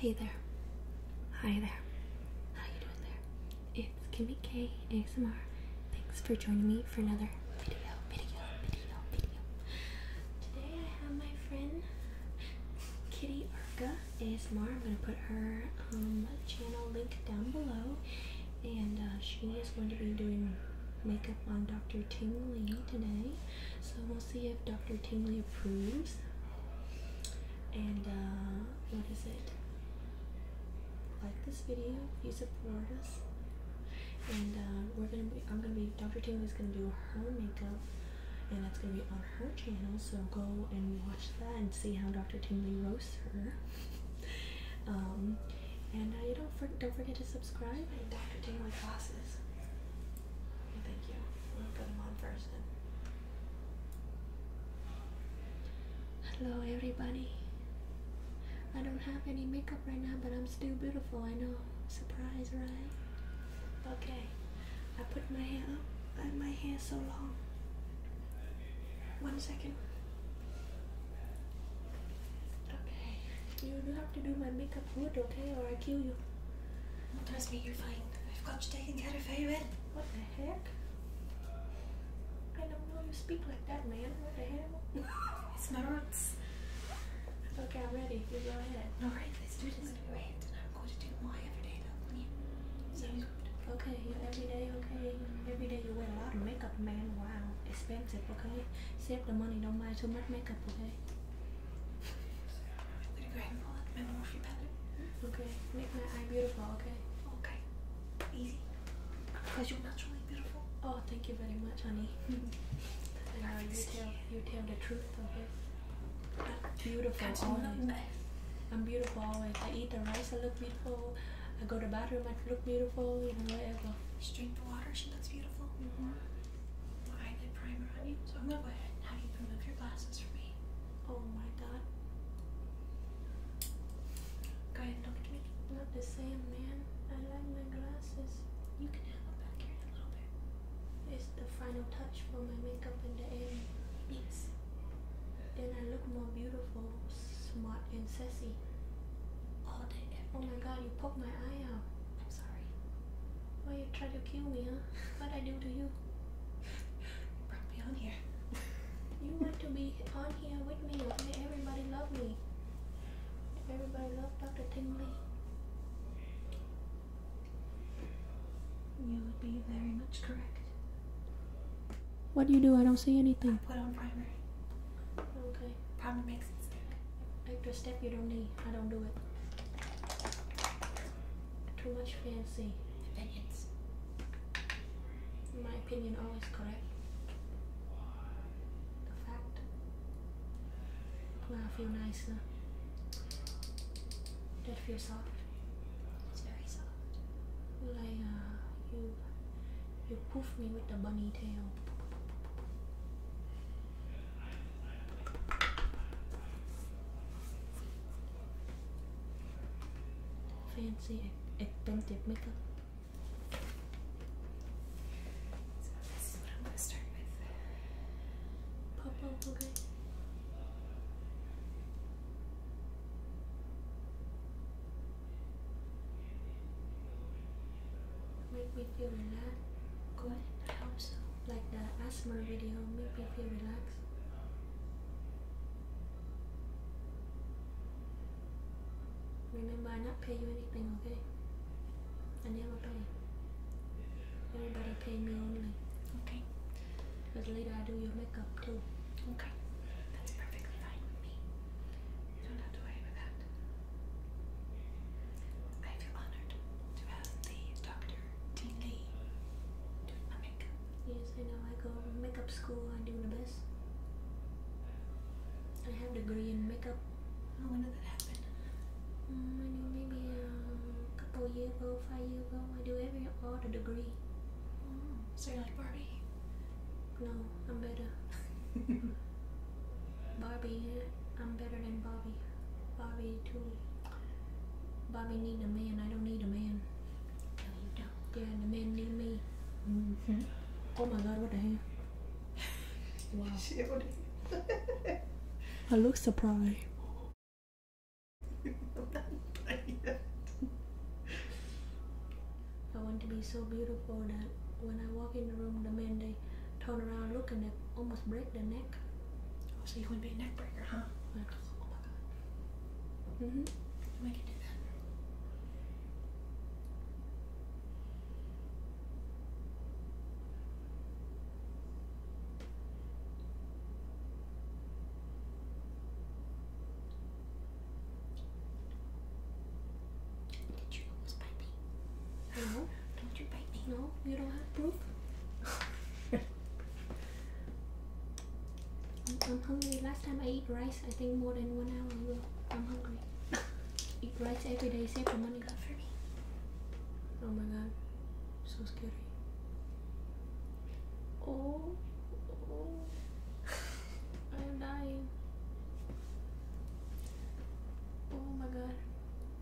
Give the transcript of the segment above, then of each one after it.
Hey there. Hi there. How you doing there? It's Kimmy K ASMR. Thanks for joining me for another video, video, video, video. Today I have my friend Kitty Arca ASMR. I'm gonna put her um, channel link down below, and uh, she is going to be doing makeup on Dr. Ting Lee today. So we'll see if Dr. Tingley approves. And uh, what is it? Like this video you support us. And uh, we're gonna be. I'm gonna be. Dr. Tingley's gonna do her makeup, and that's gonna be on her channel. So go and watch that and see how Dr. Tingley roasts her. um, and uh, you don't don't forget to subscribe. And Dr. Tingley classes. Thank you. I'm put them on first. Hello, everybody. I don't have any makeup right now, but I'm still beautiful. I know. Surprise, right? Okay. I put my hair up. I have my hair so long. One second. Okay. You have to do my makeup good, okay, or I kill you. Trust me, you're fine. I've got you taken care of very What the heck? I don't know you speak like that, man. What the hell? it's my roots. Okay, I'm ready. You go ahead. All right, let's do this. Wait, and I'm going to do my everyday look on you. Sounds good. Okay, your everyday, okay. Every day you wear a lot of makeup, man. Wow, expensive, okay? Save the money, don't buy too much makeup, okay? Really grateful that my morphe palette. Okay, make my eye beautiful, okay? Okay, easy. Because you're naturally beautiful. Oh, thank you very much, honey. and now you tell, you tell the truth, okay? i beautiful I'm beautiful always. I eat the rice, I look beautiful. I go to the bathroom, I look beautiful, you know, whatever. She drink the water, she looks beautiful. Mm-hmm. I did primer on so I'm gonna go ahead and have you remove your glasses for me. Oh my god. Guy, don't make it not the same, man. I like my glasses. You can have it back here in a little bit. It's the final touch for my makeup in the end. Yes. Then I look more beautiful, smart, and sassy. All day. oh my god, you poked my eye out. I'm sorry. Why you try to kill me, huh? What I do to you? You brought me on here. you want to be on here with me or everybody love me. Everybody love Dr. Tingley. You would be very much correct. What do you do? I don't see anything. put on primer. Okay. Primer makes it stick. Extra step you don't need. I don't do it too much fancy opinions. My opinion always correct. A fact. Well, I feel nicer. That feels soft. It's very soft. Like uh, you, you poof me with the bunny tail. Fancy expensive makeup. So this is what I'm gonna start with. Pop up, okay. Make me feel relaxed. Good. I hope so like the asthma video make me feel relaxed. Remember, I not pay you anything, okay? I never pay. Everybody pay me only. Okay. Because later I do your makeup too. Okay. That's perfectly fine with me. You don't have to worry about that. I feel honored to have the doctor doing my makeup. Yes, I know. I go to makeup school. I do the best. I have a degree in makeup. Oh, when did that happen? Mm, I know maybe a um, couple years ago, five years ago. I do every all degree. Mm. So you're like Barbie? No, I'm better. Barbie, I'm better than Barbie. Barbie too. Bobby need a man. I don't need a man. No, you don't. Yeah, the man need me. Mm-hmm. Oh my God! What the hell? Wow. I look surprised. I want to be so beautiful that when I walk in the room, the men they turn around, looking at, they almost break their neck. Oh, so you want to be a neck breaker, huh? Mm-hmm. We can do that. Did you almost bite me? No. Don't you bite me? No, you don't have proof. I'm, hungry. Last time I eat rice, I think more than one hour ago. I'm hungry. eat rice every day, save the money. for me. Oh my god, so scary. Oh, oh. I am dying. Oh my god,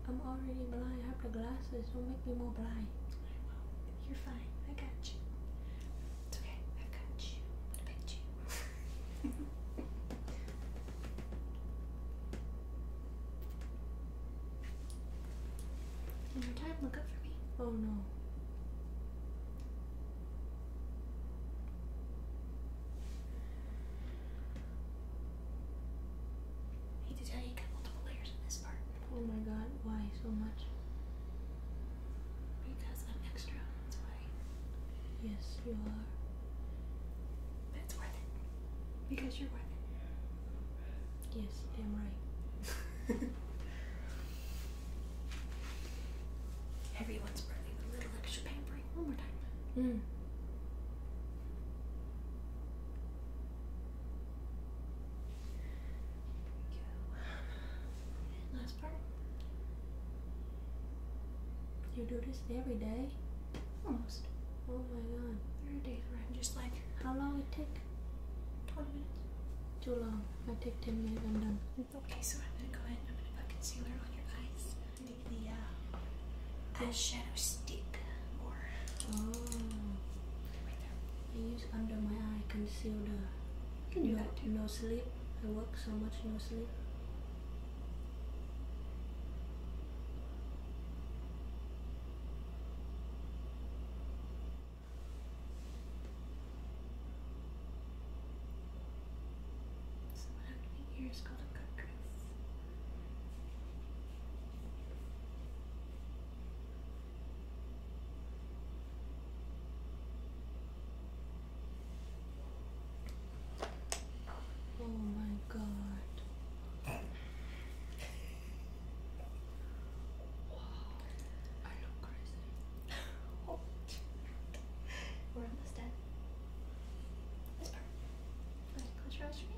I'm already blind. I have the glasses. Don't make me more blind. You're fine. I got you. It's okay. I got you. What about you? One more time. Look up for me. Oh no. need to tell you, you multiple layers in this part. Oh my god, why so much? Because I'm extra, that's why. Yes, you are. But worth it. Because you're worth it. Yes, damn right. Everyone's burning a little extra pampering. One more time. Mm. There we go. last part. You do this every day? Almost. Oh my god. Three days where i just like, how long it take? 20 minutes. Too long. I take 10 minutes, I'm done. Okay, so I'm gonna go ahead I'm gonna put concealer on your eyes. Take the uh, eyeshadow stick More. Oh. I use under my eye concealer. You can no, sleep. I work so much no sleep. So what I'm doing called a cut Oh my god. Wow. I look crazy. We're almost done. This part. Close your eyes for me.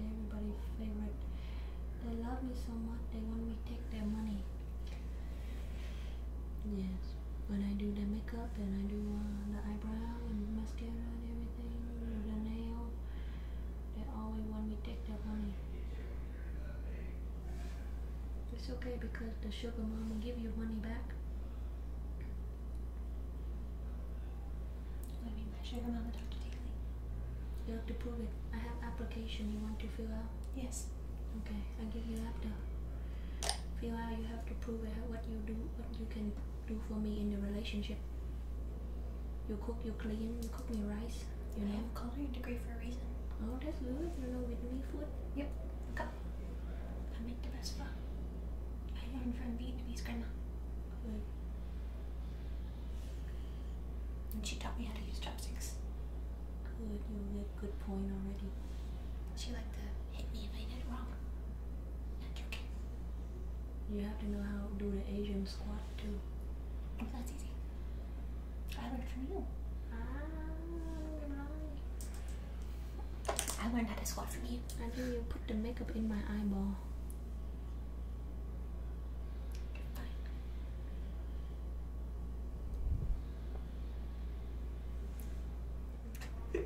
everybody favorite. They love me so much they want me take their money. Yes, when I do the makeup and I do uh, the eyebrow and mascara and everything, the nail, they always want me take their money. It's okay because the sugar mama give you money back. What do you mean Dr. Daly? You have to prove it. I have application you want to fill out? Yes. Okay, I give you laptop. Fill out, you have to prove it, what you do, what you can do for me in the relationship. You cook, you clean, you cook me rice. You I have a culinary degree for a reason. Oh, that's good. You know with me, food? Yep. Okay. I make the best food. I learned from Vietnamese grandma. Good. And she taught me how to use chopsticks. Good, you made a good point already. She liked to hit me if I did it wrong. That's okay. You have to know how to do the Asian squat too. Oh, that's easy. I learned from you. Ah, right. I learned how to swap from you. I think you put the makeup in my eyeball.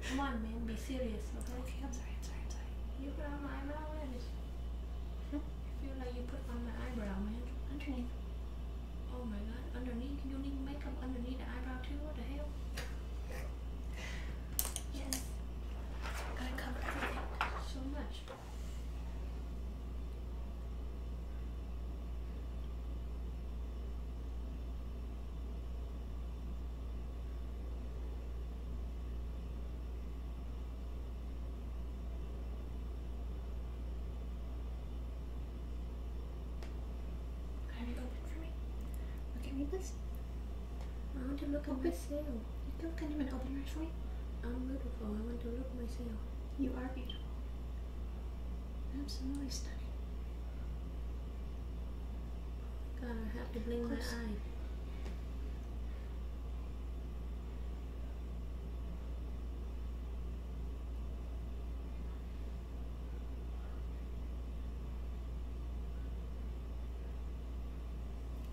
Come on, man, be serious, okay? I'm sorry, I'm sorry, I'm sorry. You put on my eyebrow, man. Hmm? I feel like you put on my eyebrow, man. Underneath. Oh my god, underneath? You need makeup underneath the eyebrow too? What the hell? Yes. Gotta cover So much. Have you opened for me? Look at I want to look at oh, myself. You look not him and open your eyes for me. I'm beautiful. I want to look myself. You are beautiful. Absolutely stunning. God, I have to blink my eye.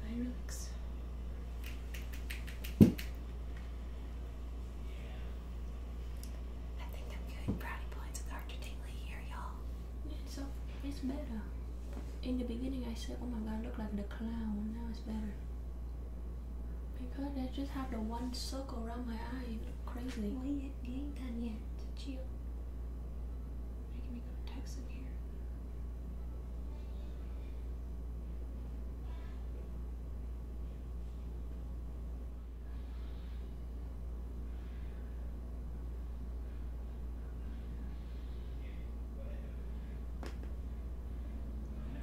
I relax. I think I'm doing brownie points with Arthur here, y'all. It's, up, it's better. In the beginning, I said, oh my god, I look like the clown. Now it's better. Because I just have the one circle around my eye. crazy. Well, you, you ain't done yet to Geo. Making me go text here.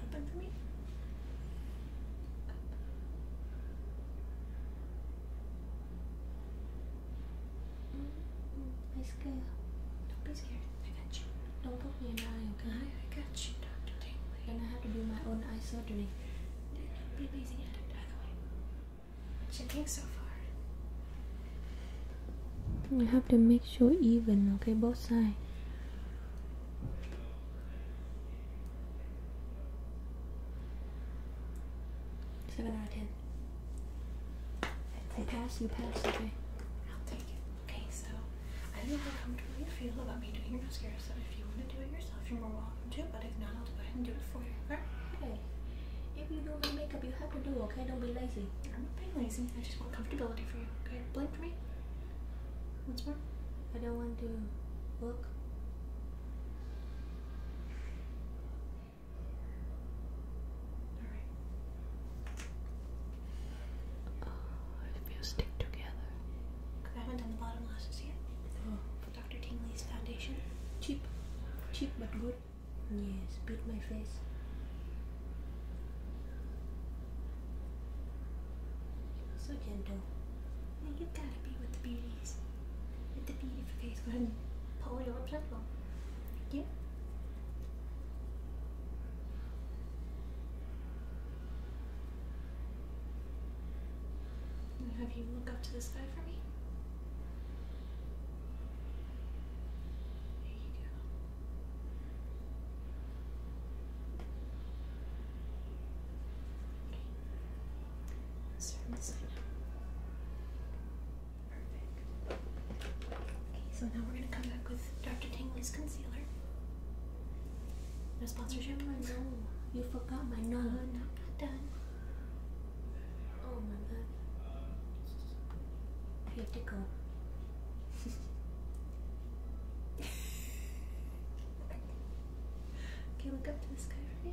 Open for me. My mm-hmm. scale. Don't be scared. I got you. Don't put me in the eye, okay? I, I got you, Dr. Tingley. I'm gonna have to do my own eye surgery. That'd be amazing at it, by the way. What you think so far? You have to make sure even, okay? Both sides. Seven I pass, you pass, okay. I'll take it. Okay, so I don't know how comfortable you feel about me doing your mascara, so if you want to do it yourself, you're more welcome to, but if not, I'll go ahead and do it for you, okay? if you do my makeup, you have to do okay? Don't be lazy. I'm not being lazy. I just want comfortability for you, okay? Blame for me. Once more. I don't want to look. Alright. Uh, it feels stick together. I haven't done the bottom lashes yet. Oh. Dr. Tingley's foundation. Cheap. Cheap but good. Yes, beat my face. So gentle. Well, you gotta be with the beauties with the beautiful face. Go ahead and pull your pluck on. Thank you. have you look up to the sky for me. There you go. Okay. Let's turn this side Perfect. Okay, so now we're going to come back with Dr. Tingley's concealer. No sponsorship? Oh, no, you forgot my no, no, not done. Oh my god. You have to go. okay, look up to the sky for me.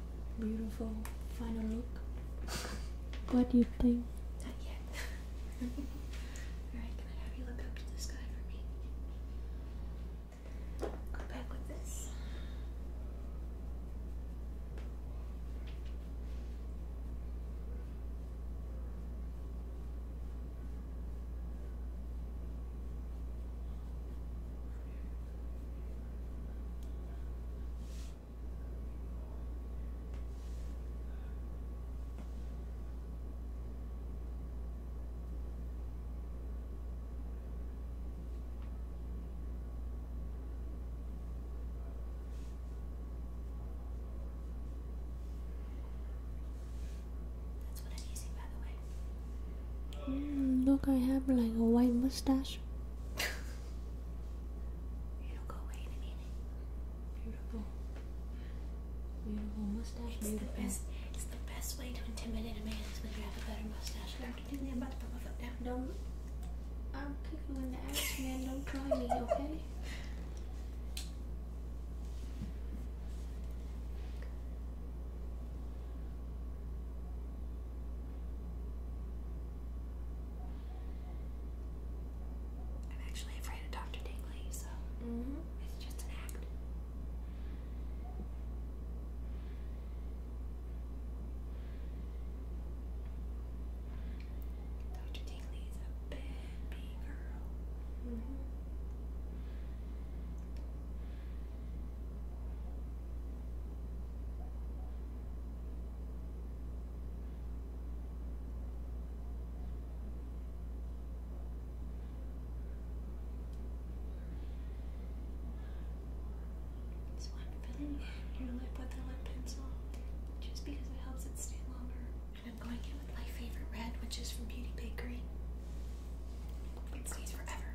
beautiful final look. What do you think? Not yet. Alright, can I have you look up to the sky for me? Go back with this. Mm, look, I have like a white mustache. It'll go away in a minute. Beautiful. Beautiful mustache. It's beautiful. the best. It's the best way to intimidate a man is when you have a better mustache. Dr. Dingley, I'm about to put my foot down. Don't. I'm kicking in the ass, man. Don't try me, okay? I'm actually afraid of Dr. Dingley, so mm-hmm. it's just an act. Dr. Dingley is a big, big girl. Mm-hmm. Just so I'm filling your lip with a lip pencil just because it helps it stay longer. And I'm going in with my favorite red, which is from Beauty Bakery. It stays forever.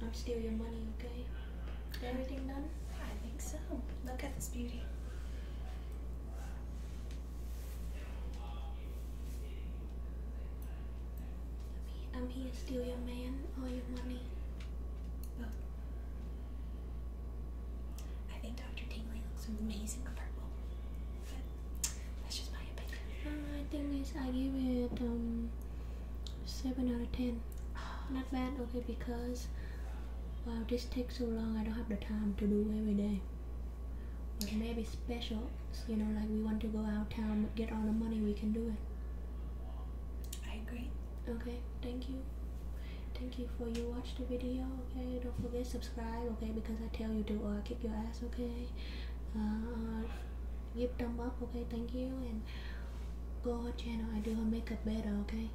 not steal your money, okay? Everything done? I think so. Look at this beauty. I'm here to steal your man, all your money. I think Dr. Tingley looks amazing purple. But that's just my opinion. I think is I give it um seven out of ten. Not bad, okay, because wow this takes so long I don't have the time to do every day or maybe special you know like we want to go out town get all the money we can do it i agree okay thank you thank you for you watch the video okay don't forget subscribe okay because i tell you to or uh, kick your ass okay uh, give thumb up okay thank you and go her channel i do her makeup better okay